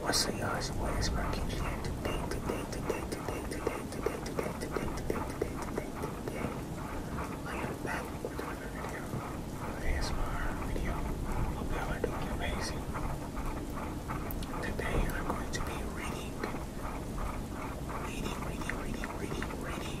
What's the Yah's ways working today, today, today, today, today, today, today, today, today, today, today, today, today. I am back with another video. This video. Hope y'all are doing amazing. Today I'm going to be reading, reading, reading, reading, reading, reading.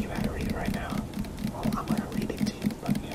you had read it right now. Well, I'm gonna read it to you, but yeah.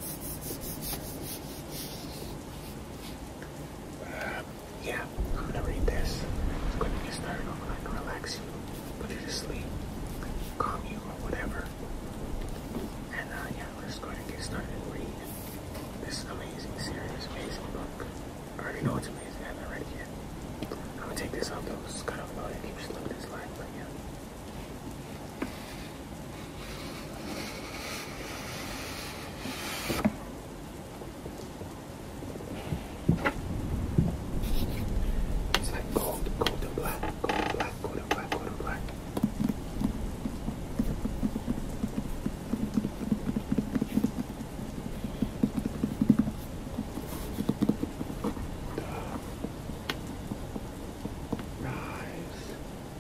Uh, yeah, I'm gonna read this. It's gonna get started off like relax you, put you to sleep, calm you or whatever. And uh, yeah, let's go ahead and get started and read this amazing series, amazing book. I already know it's amazing, I haven't read it yet. I'm gonna take this off though, it's kind of loud, it keeps looking this light, but yeah. It's like gold, gold and black, gold and black, gold and black, gold and black. Rise.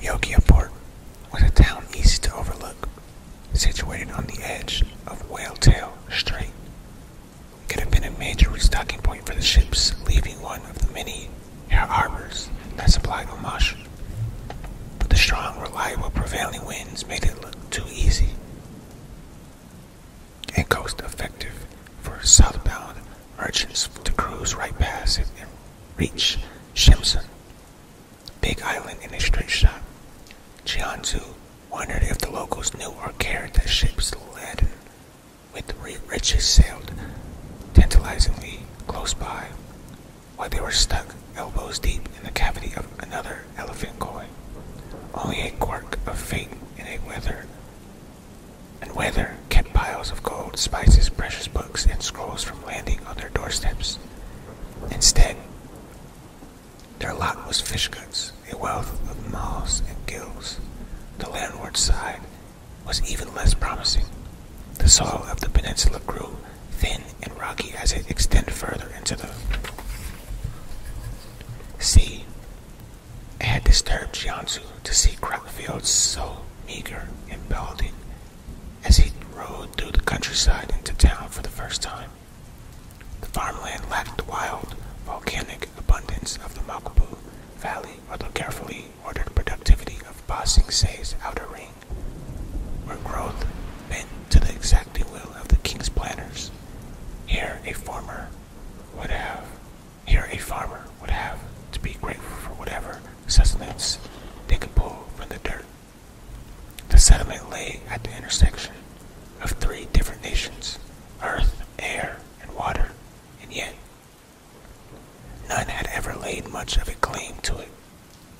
Yogyakarta was a town easy to overlook, situated on the edge of Whale Tail Strait. It could have been a major restocking point for the ships leaving one of the many harbors that supplied the Omash. But the strong, reliable, prevailing winds made it look too easy and coast effective for southbound merchants to cruise right past it and reach Shimson, Big Island in a straight shot. wondered if the locals knew or cared that ships laden with riches sailed tantalizingly close by, while they were stuck elbows deep in the cavity of another elephant coin. Only a quirk of fate and a weather and weather kept piles of gold, spices, precious books, and scrolls from landing on their doorsteps. Instead, their lot was fish guts, a wealth of malls and gills. The landward side was even less promising. The soil of the peninsula grew thin and rocky as it extended further into the sea. It had disturbed Jiangsu to see crop fields so meager and balding as he rode through the countryside into town for the first time. The farmland lacked the wild, volcanic abundance of the Makapu Valley or the carefully ordered productivity of Ba outer ring, where growth bent to the exacting will of the king's planners. Here, a farmer would have here, a farmer would have to be grateful for whatever sustenance they could pull from the dirt. The settlement lay at the intersection of three different nations earth, air, and water, and yet none had ever laid much of a claim to it.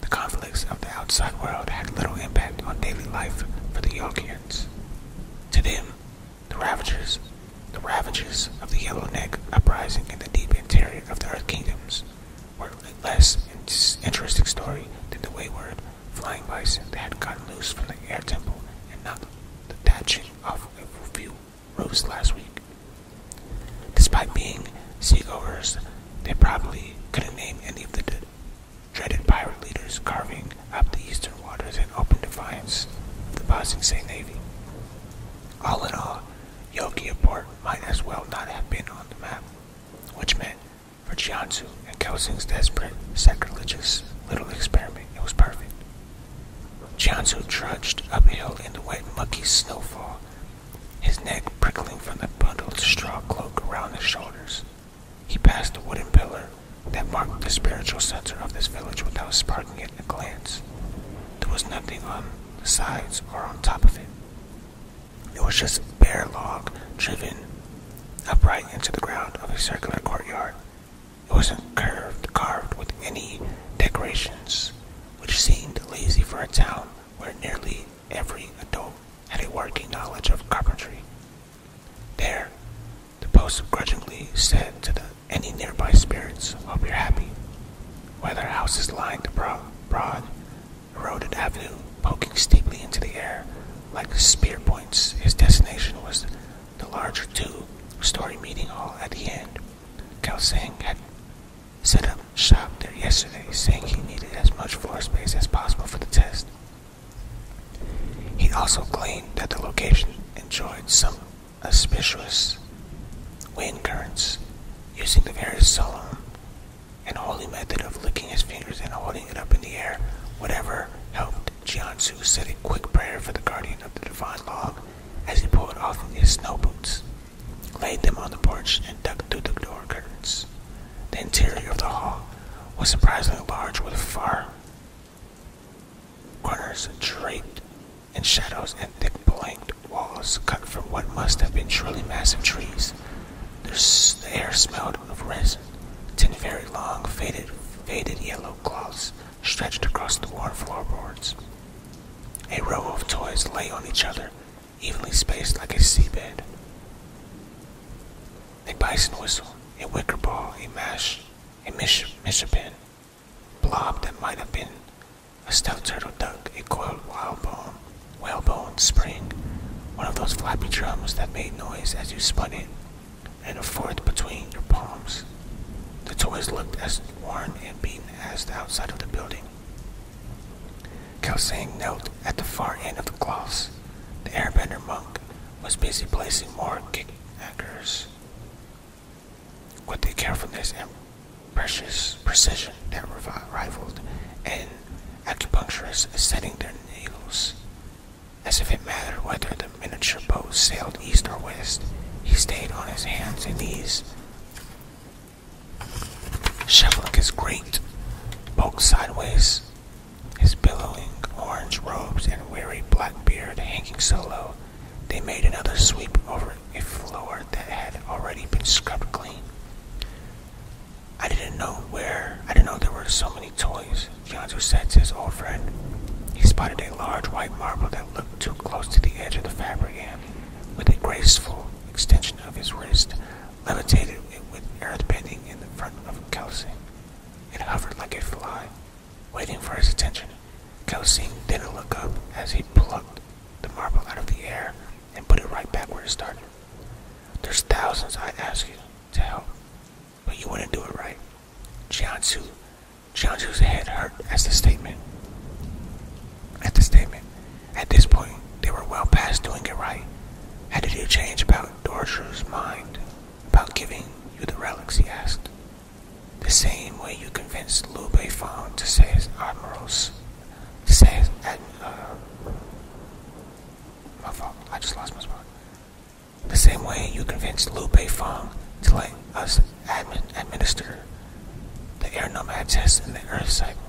The conflicts of the outside world had little impact on daily life for the Yorkians. To them, the ravages, the ravages of the Yellow Neck uprising in the deep interior of the Earth Kingdoms were a less interesting story than the wayward flying bison that had gotten loose from the air temple and knocked the thatching off a few roofs last week. Despite being seagoers, they probably couldn't name any of the dreaded pirate leaders carving up the eastern waters open defiance of the passing sea navy. All in all, Yogia port might as well not have been on the map, which meant for Jiangsu and Kaohsiung's desperate, sacrilegious little experiment, it was perfect. Jiangsu trudged uphill in the wet, mucky snowfall, his neck prickling from the bundled straw cloak around his shoulders. He passed the wooden pillar that marked the spiritual center of this village without sparking it a glance. There was nothing on the sides or on top of it. It was just a bare log driven upright into the ground of a circular courtyard. It wasn't curved, carved with any decorations, which seemed lazy for a town where nearly every adult had a working knowledge of carpentry. There, the post grudgingly said to any nearby spirits, Hope you're happy. While their houses lined the broad, eroded avenue, poking steeply into the air like spear points, his destination was the larger two story meeting hall at the end. Kelsang had set up shop there yesterday, saying he needed as much floor space as possible for the test. He also claimed that the location enjoyed some auspicious wind currents using the very solemn and holy method of licking his fingers and holding it up in the air. Whatever helped Jiansu said a quick prayer for the guardian of the divine law as he pulled off his snow boots, laid them on the porch, and ducked through the door curtains. The interior of the hall was surprisingly large with far corners draped and shadows and thick blanked walls cut from what must have been truly massive trees. The air smelled of resin. Ten very long, faded, faded yellow cloths stretched across the worn floorboards. A row of toys lay on each other, evenly spaced like a seabed. A bison whistle, a wicker ball, a mash, a mish, pin blob that might have been a stout turtle duck, a coiled whalebone, whalebone spring, one of those flappy drums that made noise as you spun it, and a fourth between your palms. The toys looked as worn and beaten as the outside of the building. Kelsang knelt at the far end of the cloths. The airbender monk was busy placing more kick hackers with the carefulness and precious precision that rivaled an acupuncturist setting their needles. As if it mattered whether the miniature boat sailed east or west, he stayed on his hands and knees, shuffling his great bulk sideways, his billowing orange robes and weary black beard hanging so low they made another sweep over a floor that had already been scrubbed clean. I didn't know where, I didn't know there were so many toys, Yanzu said to his old friend. He spotted a large white marble that looked too close to the edge of the fabric and, with a graceful extension of his wrist, levitated it with earth bending in the front of Kelsey. It hovered like a fly, Waiting for his attention, Kelsing didn't look up as he plucked the marble out of the air and put it right back where it started. There's thousands I ask you to help, but you wouldn't do it right. Jiansu, Jiansu's head hurt as the statement. At the statement, at this point, they were well past doing it right. How did you change about Dorshu's mind about giving you the relics? He asked. The same way you convinced Lupe Beifang to say his admirals, uh, my fault, I just lost my spot. The same way you convinced Lupe Beifang to let us admin, administer the air nomad test in the earth cycle.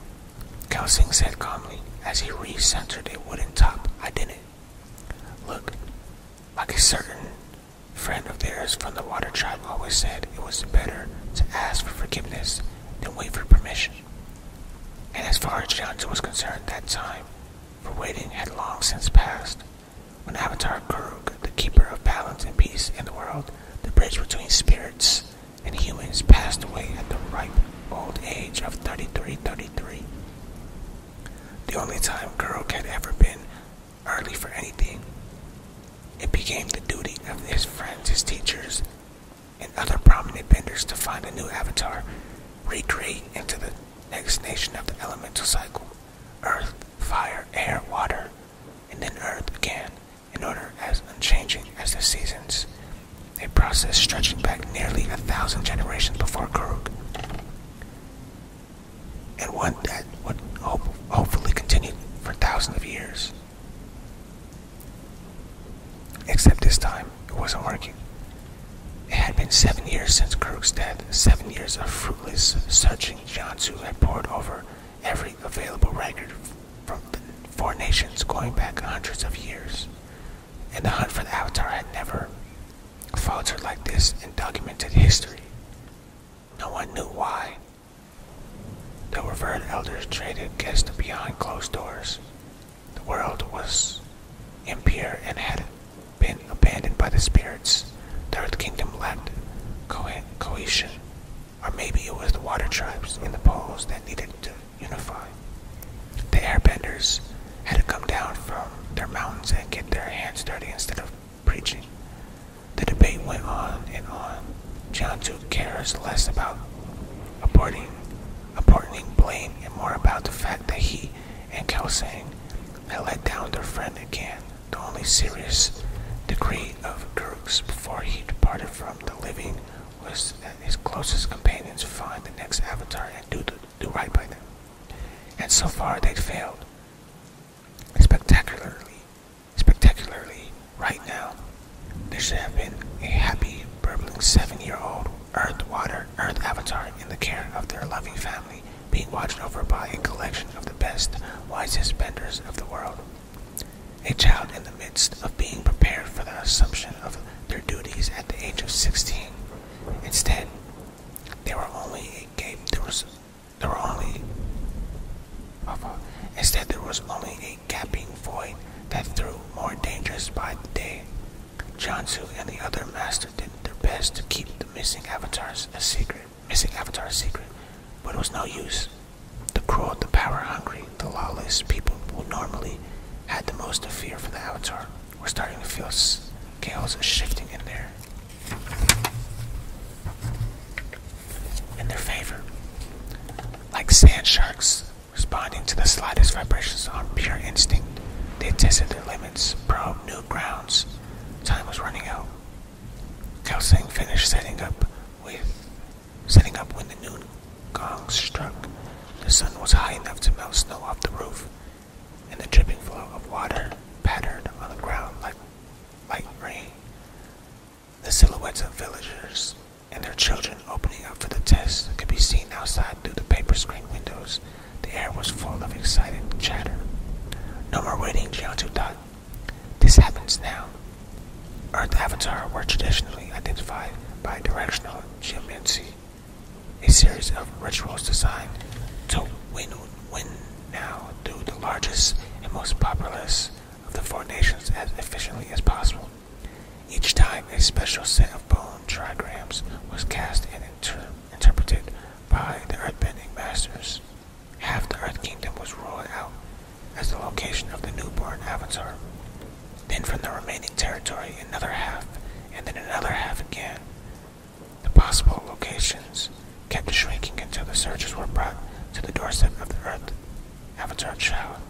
Kelsing said calmly as he recentered centered a wooden top. I didn't. Look, like a certain friend of theirs from the water tribe always said it was better to ask for forgiveness than wait for permission. And as far as Johnson was concerned, that time for waiting had long since passed. When Avatar Kuruk, the keeper of balance and peace in the world, the bridge between spirits and humans, passed away at the ripe old age of 3333. The only time Kuruk had ever been early for anything. It became the duty of his friends, his teachers, and other prominent benders to find a new avatar, recreate into the next nation of the elemental cycle earth, fire, air, water, and then earth again, in order as unchanging as the seasons, a process stretching back nearly a thousand generations before Kuruk and one that would hopefully continue for thousands of years. Except this time, it wasn't working. It had been seven years since Kirk's death, seven years of fruitless searching Jiangsu had poured over every available record from the four nations going back hundreds of years. And the hunt for the Avatar had never faltered like this in documented history. No one knew why, the revered elders traded gifts behind closed doors. The world was impure and had been abandoned by the spirits. The Earth Kingdom lacked cohesion. Or maybe it was the water tribes in the poles that needed to unify. The airbenders had to come down from their mountains and get their hands dirty instead of preaching. The debate went on and on. John Duke cares less about apportioning, aborting blame and more about the fact that he and Kelsang had let down their friend again, the only serious decree of Kirk's before he departed from the living was that his closest companions find the next avatar and do, do right by them. And so far they'd failed. Spectacularly, Spectacularly, right now, there should have been a happy, burbling seven-year-old Earth Water Earth Avatar in the care of their loving family, being watched over by a collection of the best, wisest benders of the world. A child in the midst of being prepared for the assumption of their duties at the age of 16. Instead, they were only a game. There was there were only instead there was only a gaping void that threw more dangers by the day. Jansu and the other masters did their best to keep the missing avatars a secret, missing avatar secret, but it was no use. The cruel, the power-hungry, the lawless people who normally had the most to fear from the avatar were starting to feel chaos shifting in there in their favor. Like sand sharks responding to the slightest vibrations on pure instinct, they tested their limits, probed new grounds. Time was running out. Kelsang finished setting up with setting up when the noon gong struck. The sun was high enough to melt snow off the roof, and the dripping flow of water pattered on the ground like light rain. The silhouettes of villagers and their children opening up for the test could be seen outside through the paper screen windows. The air was full of excited chatter. No more waiting, Jiantu thought. This happens now. Earth Avatar were traditionally identified by directional geomancy, a series of rituals designed to win, win now through the largest and most populous of the four nations as efficiently as possible. Each time, a special set of bone trigrams was cast and interpreted by the earthbending masters. Half the Earth Kingdom was ruled out as the location of the newborn avatar. Then, from the remaining territory, another half, and then another half again. The possible locations kept shrinking until the searchers were brought to the doorstep of the Earth Avatar shell.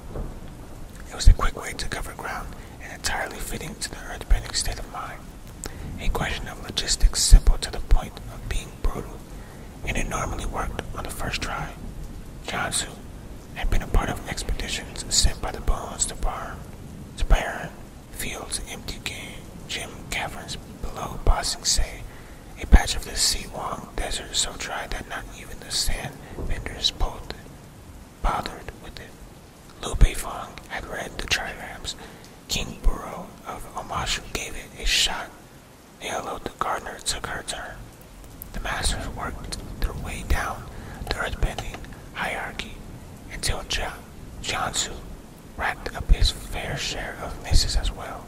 It was a quick way to cover ground and entirely fitting to the earthbending state of mind. A question of logistics simple to the point of being brutal, and it normally worked on the first try. Jansu had been a part of expeditions sent by the Bones to Barn, to Byron, Fields, empty game, gym caverns below Bossing Se a patch of the Siwang Desert so dry that not even the sand vendors bothered with it. Lu Beifong had read the trigrams. King Buro of Omashu gave it a shot. Yellow, the gardener, took her turn. The masters worked their way down the earthbending hierarchy until Jiangsu racked up his fair share of misses as well.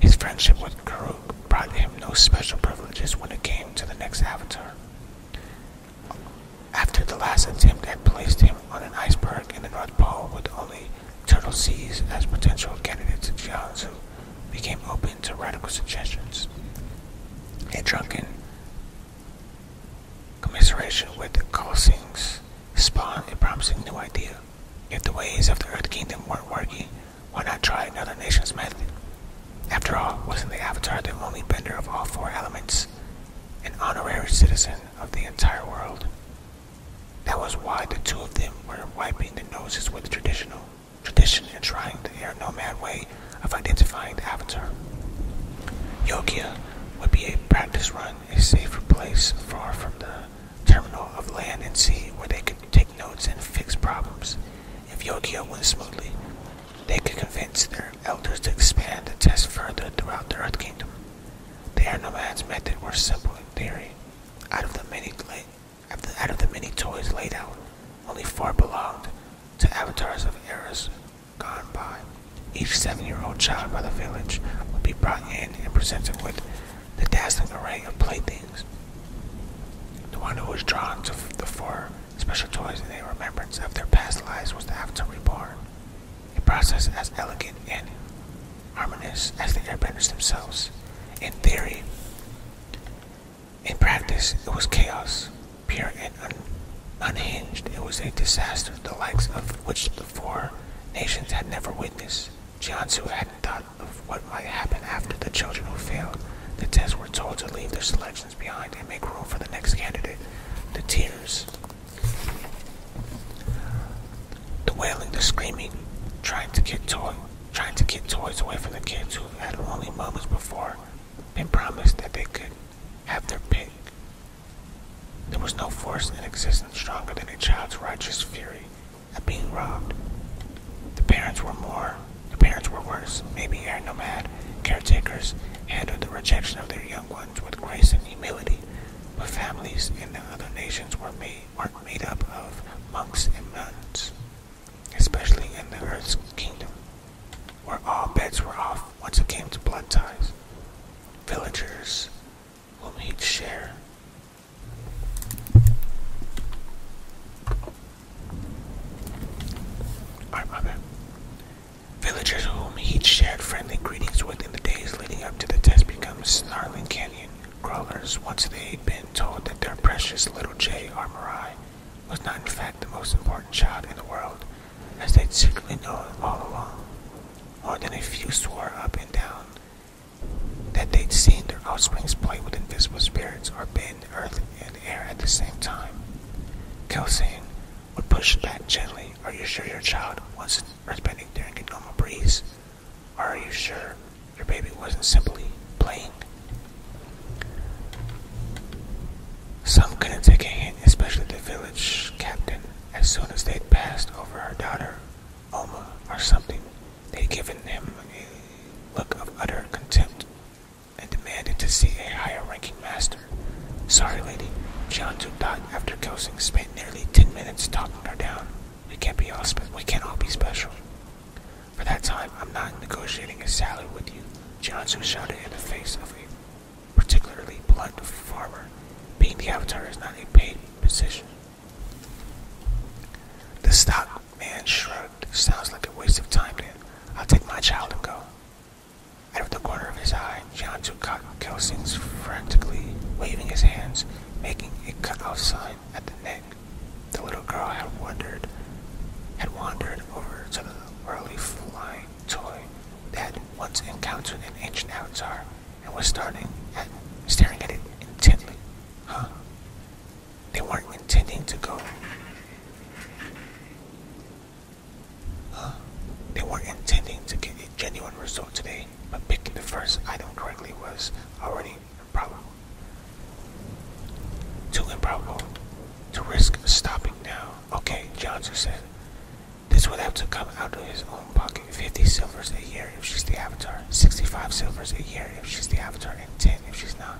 His friendship with Kuruk brought him no special privileges when it came to the next avatar. After the last attempt had placed him on an iceberg in the North Pole with only turtle seas as potential candidates, Jiangsu became open to radical suggestions. A drunken commiseration with the Colsings spawned a promising new idea. If the ways of the Earth Kingdom weren't working, why not try another nation's method? After all, wasn't the Avatar the only bender of all four elements? An honorary citizen of the entire world. That was why the two of them were wiping their noses with the traditional tradition and trying the air nomad way of identifying the Avatar. Yogya would be a practice run, a safer place far from the terminal of land and sea where they could take notes and fix problems. If Yogyo went smoothly, they could convince their elders to expand the test further throughout the Earth Kingdom. The air nomads' method was simple in theory. Out of the many out of the many toys laid out, only four belonged to avatars of eras gone by. Each seven-year-old child by the village would be brought in and presented with the dazzling array of playthings. The one who was drawn to the four special toys in a remembrance of their past lives was the Avatar Reborn, a process as elegant and harmonious as the airbenders themselves. In theory, in practice, it was chaos, pure and unhinged. It was a disaster the likes of which the four nations had never witnessed. Jiansu hadn't thought of what might happen after the children who failed the test were told to leave their selections behind and make room for the next candidate. The tears, the wailing, the screaming, trying to get toy, trying to get toys away from the kids who had only moments before been promised that they could have their pick. There was no force in existence stronger than a child's righteous fury of being robbed. The parents were more, the parents were worse, maybe air nomad caretakers handled the rejection of their young ones with grace and humility, but families in the other nations were made, were made up of monks and nuns, especially in the earth's kingdom, where all bets were off once it came to blood ties. Villagers whom each share Villagers whom he'd shared friendly greetings with in the days leading up to the test become snarling canyon crawlers once they'd been told that their precious little J. Armorai was not in fact the most important child in the world, as they'd secretly known all along. More than a few swore up and down that they'd seen their offspring play with invisible spirits or bend earth and air at the same time. Kelsane would push back gently. Are you sure your child wasn't responding to a normal breeze? are you sure your baby wasn't simply playing? Some couldn't take a hint, especially the village captain, as soon as they'd passed over her daughter, Oma, or something they had given him a look of utter contempt and demanded to see a higher-ranking master. Sorry, lady. John Dot, after coasting, spent nearly ten minutes talking her down. We can't be all spe we can't all be special. For that time, I'm not negotiating a salary with you. Johnson shouted in the face of a particularly blunt farmer. Being the avatar is not a paid position. The stockman shrugged. Sounds like a waste of time then. I'll take my child and go. Out of the corner of his eye, John took Kelsing's frantically waving his hands, making a cut-out sign at the neck. The little girl had wandered, had wandered over to the early flying toy that had once encountered an ancient avatar and was starting at, staring at it intently. Huh? They weren't intending to go. Uh, they weren't intending to get a genuine result today, but picking the first item correctly was already improbable. Too improbable to risk stopping now. Okay, Johnson said. This would have to come out of his own pocket. Fifty silvers a year if she's the avatar, 65 silvers a year if she's the avatar, and 10 if she's not.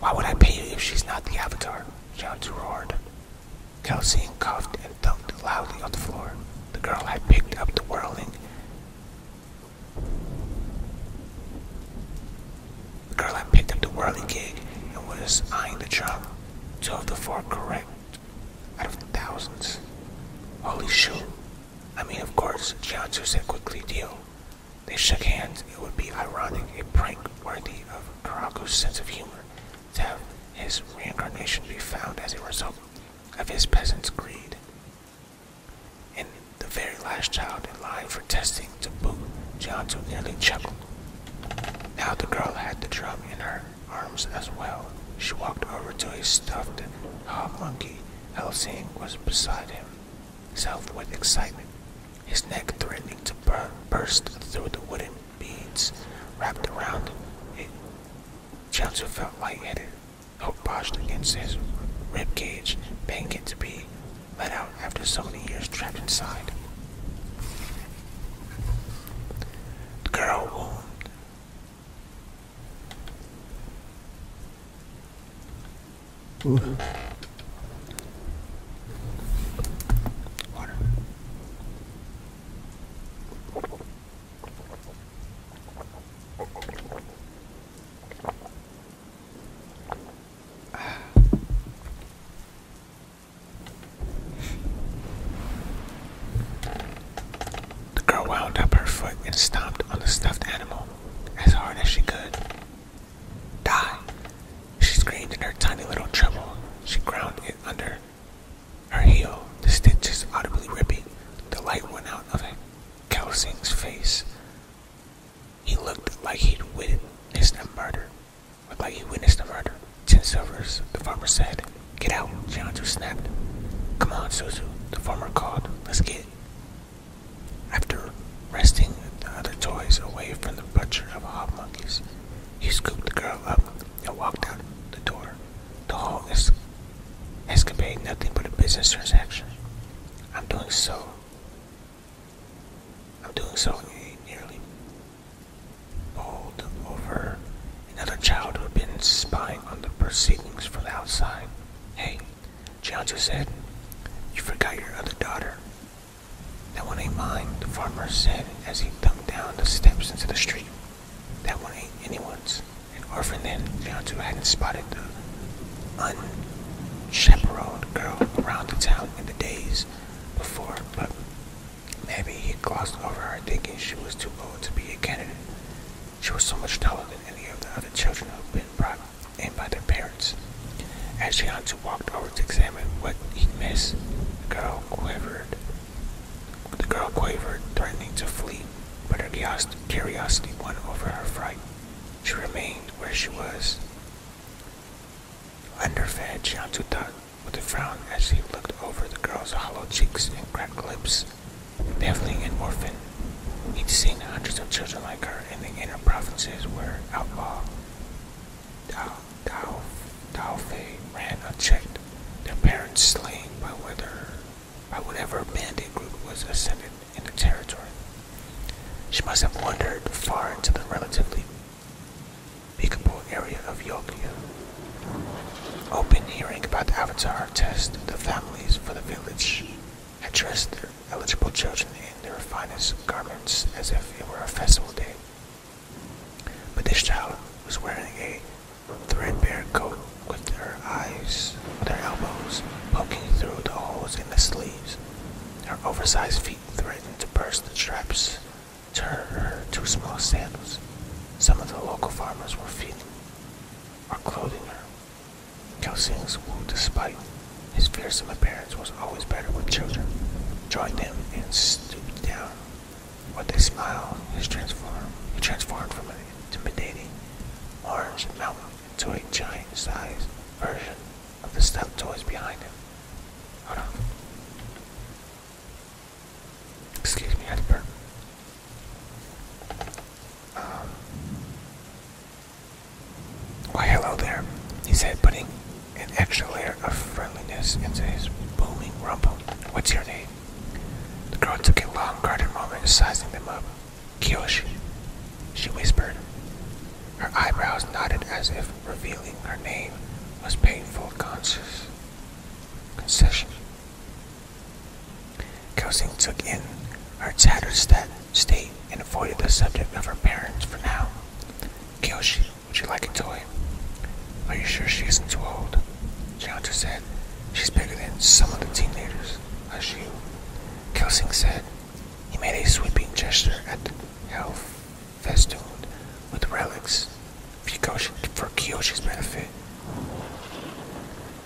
Why would I pay you if she's not the avatar? John roared. Kelsey coughed and thumped loudly on the floor. The girl had picked up the whirling. The girl had picked up the whirling gig and was eyeing the drum. Two of the four correct out of thousands. Holy shoot. I mean, of course, Jianzu said quickly, deal. They shook hands. It would be ironic, a prank worthy of Karaku's sense of humor, to have his reincarnation be found as a result of his peasant's greed. And the very last child in line for testing to boot, Gianto nearly chuckled. Now the girl had the drum in her arms as well. She walked over to a stuffed hobmonkey. monkey. Helsing was beside him himself with excitement, his neck threatening to burst through the wooden beads wrapped around it. Chelsea felt light-headed. Hope brushed against his rib cage, begging to be let out after so many years trapped inside. girl the girl wound up her foot and stomped on the stuffed animal as hard as she could. Die! She screamed in her tiny little treble. She ground it under her heel, the stitches audibly ripping. The light went out of Kelsing's face. He looked like he'd witnessed a murder. Looked like he witnessed a murder. Ten silvers, the farmer said. Get out, Jianzu snapped. Come on, Suzu, the farmer called. Let's get after wresting the other toys away from the butcher of hobmonkeys, he scooped the girl up and walked out the door. The whole is, has conveyed nothing but a business transaction. I'm doing so. I'm doing so nearly bowled over another child who had been spying on the proceedings from the outside. Hey, Jianzu said, You forgot your other daughter. That one ain't mine, the farmer said as he thumped down the steps into the street. That one ain't anyone's. An orphan then, Jianzu hadn't spotted the unchaperoned girl around the town in the days before, but maybe he glossed over her thinking she was too old to be a candidate. She was so much taller than any of the other children who'd been brought and by their parents. As Shiansu walked over to examine what he missed, the girl quivered. The girl quavered, threatening to flee, but her curiosity won over her fright. She remained where she was. Underfed, Shiansu thought with a frown as he looked over the girl's hollow cheeks and cracked lips. Deafling and orphan, He'd seen hundreds of children like her in the inner provinces where outlaw Taufei ran unchecked, their parents slain by, whether, by whatever bandit group was ascendant in the territory. She must have wandered far into the relatively peakable area of Yokia. Open hearing about the Avatar test, the families for the village addressed their eligible children in their finest garments as if it were a festival day. But this child was wearing a threadbare coat with her eyes, with her elbows poking through the holes in the sleeves. Her oversized feet threatened to burst the straps to her, her too small sandals. Some of the local farmers were feeding or clothing her Kelsing's who, despite his fearsome appearance, was always better with children, joined them, and stooped down. With a smile, he transformed, he transformed from an intimidating orange mountain into a giant-sized version of the stuffed toys behind him. Hold on. Excuse me, Edward. Why, hello there, he said, putting an extra layer of friendliness into his booming rumble. What's your name? The girl took a long, guarded moment, sizing them up. Kiyoshi, she whispered. Her eyebrows knotted as if revealing her name was painful conscious concession. Kelsing took in her tattered state and avoided the subject of her parents for now. Kyoshi, would you like a toy? Are you sure she isn't too old? Gianta said. She's bigger than some of the teenagers, as you. Kelsing said. He made a sweeping gesture at the hell festooned with relics for Kyoshi's benefit.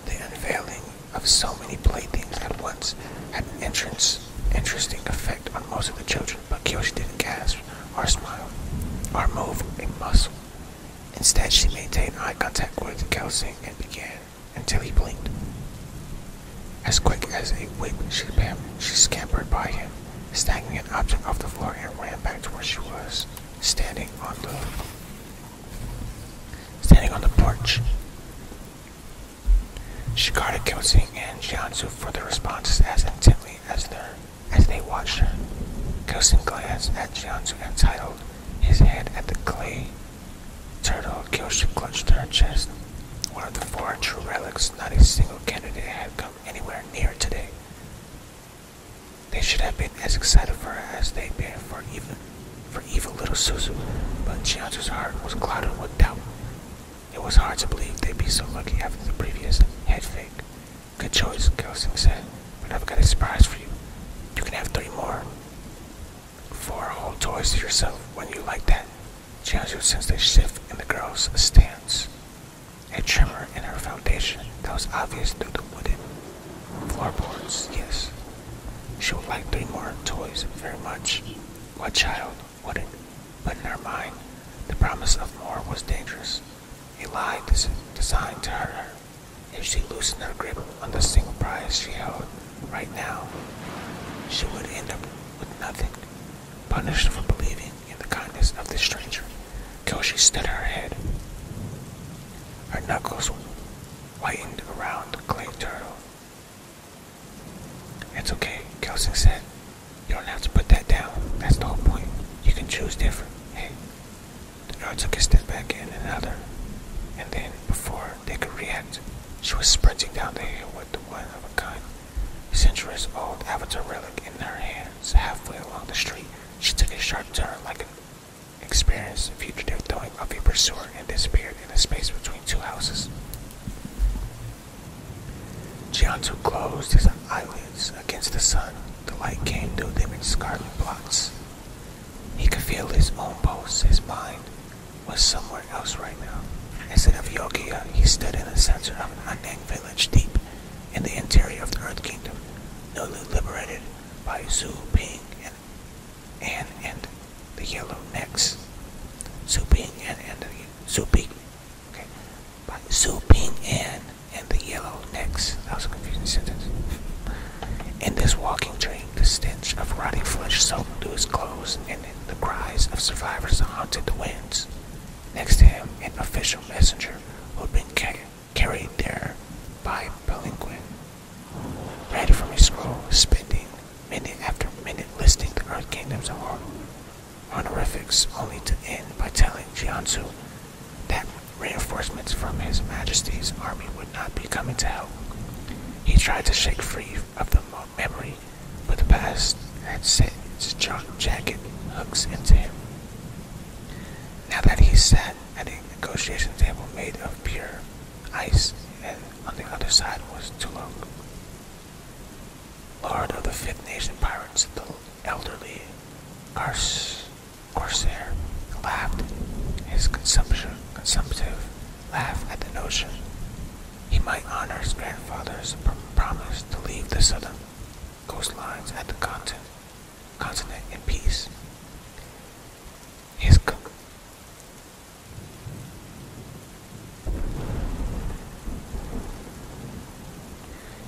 The unveiling of so many playthings at once had an entrance, interesting effect on most of the children, but Kyoshi didn't gasp or smile or move a muscle. Instead, she maintained eye contact with Kelsing and began until he blinked. As quick as a whip, she, she scampered by him, snagging an object off the floor and ran back to where she was, standing on the standing on the porch. She guarded Kyosuke and Shiansu for their responses as intently as, they watched her. Kyosuke glanced at Shiansu and titled his head at the clay turtle. Kyosuke clutched her chest. One of the four true relics, not a single candidate had come anywhere near today. They should have been as excited for her as they'd been for even for evil little Suzu, but Chianzu's heart was clouded with doubt. It was hard to believe they'd be so lucky after the previous head fake. Good choice, Gelsing said, but I've got a surprise for you. You can have three more. Four whole toys to yourself when you like that. Jiangsu sensed a shift in the girl's stance. A tremor in her foundation that was obvious through the wooden floorboards, yes. She would like three more toys very much. What child wouldn't, but in her mind, the promise of more was dangerous, a lie designed to hurt her. If she loosened her grip on the single prize she held right now, she would end up with nothing, punished for believing in the kindness of this stranger. Kyoshi stood her head. Her knuckles whitened around the clay turtle it's okay, Kelson said. You don't have to put that down. That's the whole point. You can choose different. The girl took a step back and another, and then, before they could react, she was sprinting down the hill with the one of a kind, centuries old avatar relic in her hands. Halfway along the street, she took a sharp turn like an experienced fugitive throwing off a pursuer and disappeared in the space between two houses. Gianto closed his eyelids against the sun. The light came through them in scarlet blocks. He could feel his own pulse. His mind was somewhere else right now. Instead of Yogia, he stood in the center of an unnamed village deep in the interior of the Earth Kingdom, newly liberated by Zhu Ping and, and, and the yellow necks. Su and, and the Su Okay. By and and the yellow necks. That was a confusing sentence. In this walking train, the stench of rotting flesh soaked into his clothes and in the cries of survivors haunted the winds. Next to him, an official messenger who had been carried there by Palinquin read from his scroll, spinning minute after minute listing the Earth Kingdom's hor honorifics, only to end by telling Jiansu that reinforcements from His Majesty's army would not be coming to help. He tried to shake free of the memory, but the past had set its jacket hooks into him. Now that he sat at a negotiation table made of pure ice, and on the other side was Tulong. Lord of the Fifth Nation pirates, the elderly corsair laughed his consumptive laugh at the notion he might honor his grandfather's promise to leave the southern coastlines at the continent, in peace. His co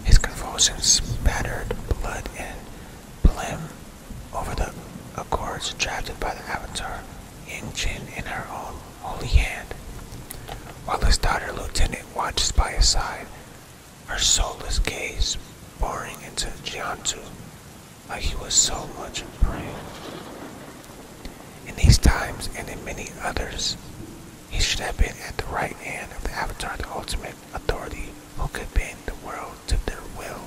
his convulsions spattered blood and phlegm over the accords drafted by the Avatar, Ying Jin, in her own holy hand, while his daughter Lieutenant watches by his side, her soulless gaze boring into Jiantu like he was so much in prayer. In these times and in many others, he should have been at the right hand of the Avatar, the ultimate authority who could bend the world to their will.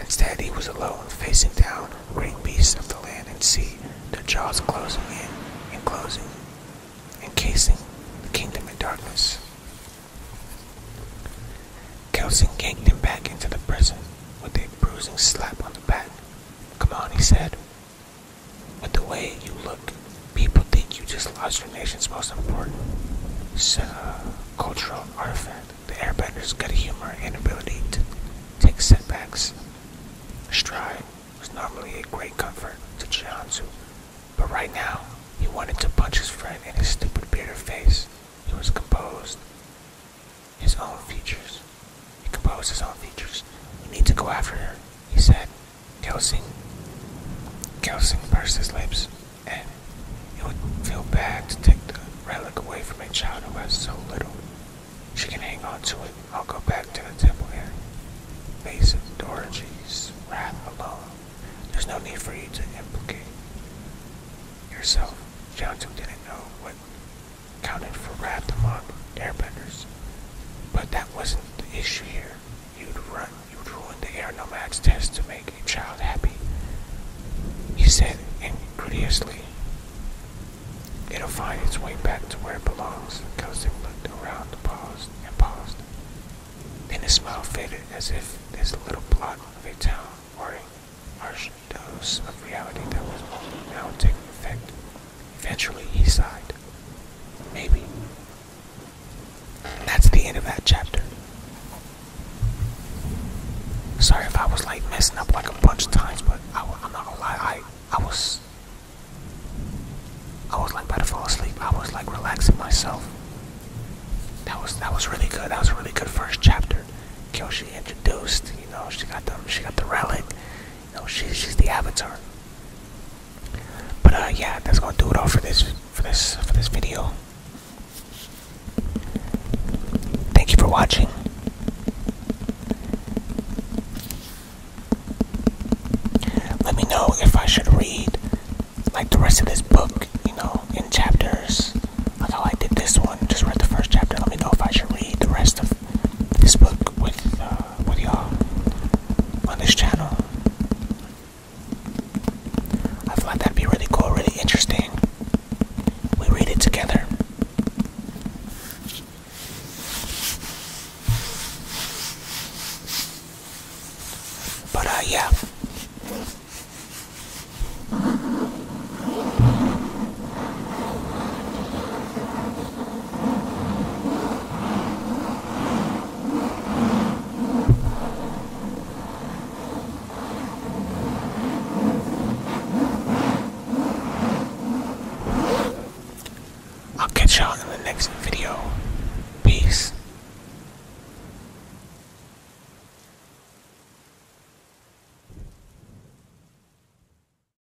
Instead, he was alone, facing down great beasts of the land and sea, their jaws closing in and encasing the kingdom in darkness. Kelson kicked him back into the prison with a bruising slap on the back. Come on, he said. But the way you look, people think you just lost your nation's most important uh, cultural artifact. The airbenders got a humor and ability to take setbacks. Stride was normally a great comfort to Jianzu, but right now he wanted to punch his friend in his stupid bearded face. He was composed his own features. He composed his own features. We need to go after her, he said. Kelsing. Kelsing pursed his lips, and it would feel bad to take the relic away from a child who has so little. She can hang on to it. I'll go back to the temple area. Face of Dorothy's wrath alone. There's no need for you to implicate yourself. John didn't know what counted for Wrath among airbenders. But that wasn't the issue here. You'd run, you'd ruin the air nomad's test to make a child happy. He said incredulously. It'll find its way back to where it belongs. Cousin looked around, paused, and paused. Then his smile faded as if this little plot of a town were a harsh dose of reality that was now taking effect. Eventually, he sighed. Maybe. that's the end of that chapter. Sorry if I was like messing up like a bunch of times, but I, am not gonna lie, I, I was. I was like about to fall asleep. I was like relaxing myself. That was that was really good. That was really good first chapter. Kyoshi introduced, you know, she got the she got the relic, no, she's she's the avatar. But uh, yeah, that's gonna do it all for this for this for this video. Thank you for watching. Let me know if I should read like the rest of this book, you know, in chapters. Like how I did this one, just read the first chapter. Let me know if I should read the rest of this book with, uh, with y'all on this channel. I find that'd be really cool, really interesting. We read it together. But, uh, yeah. I'll catch y'all in the next video. Peace.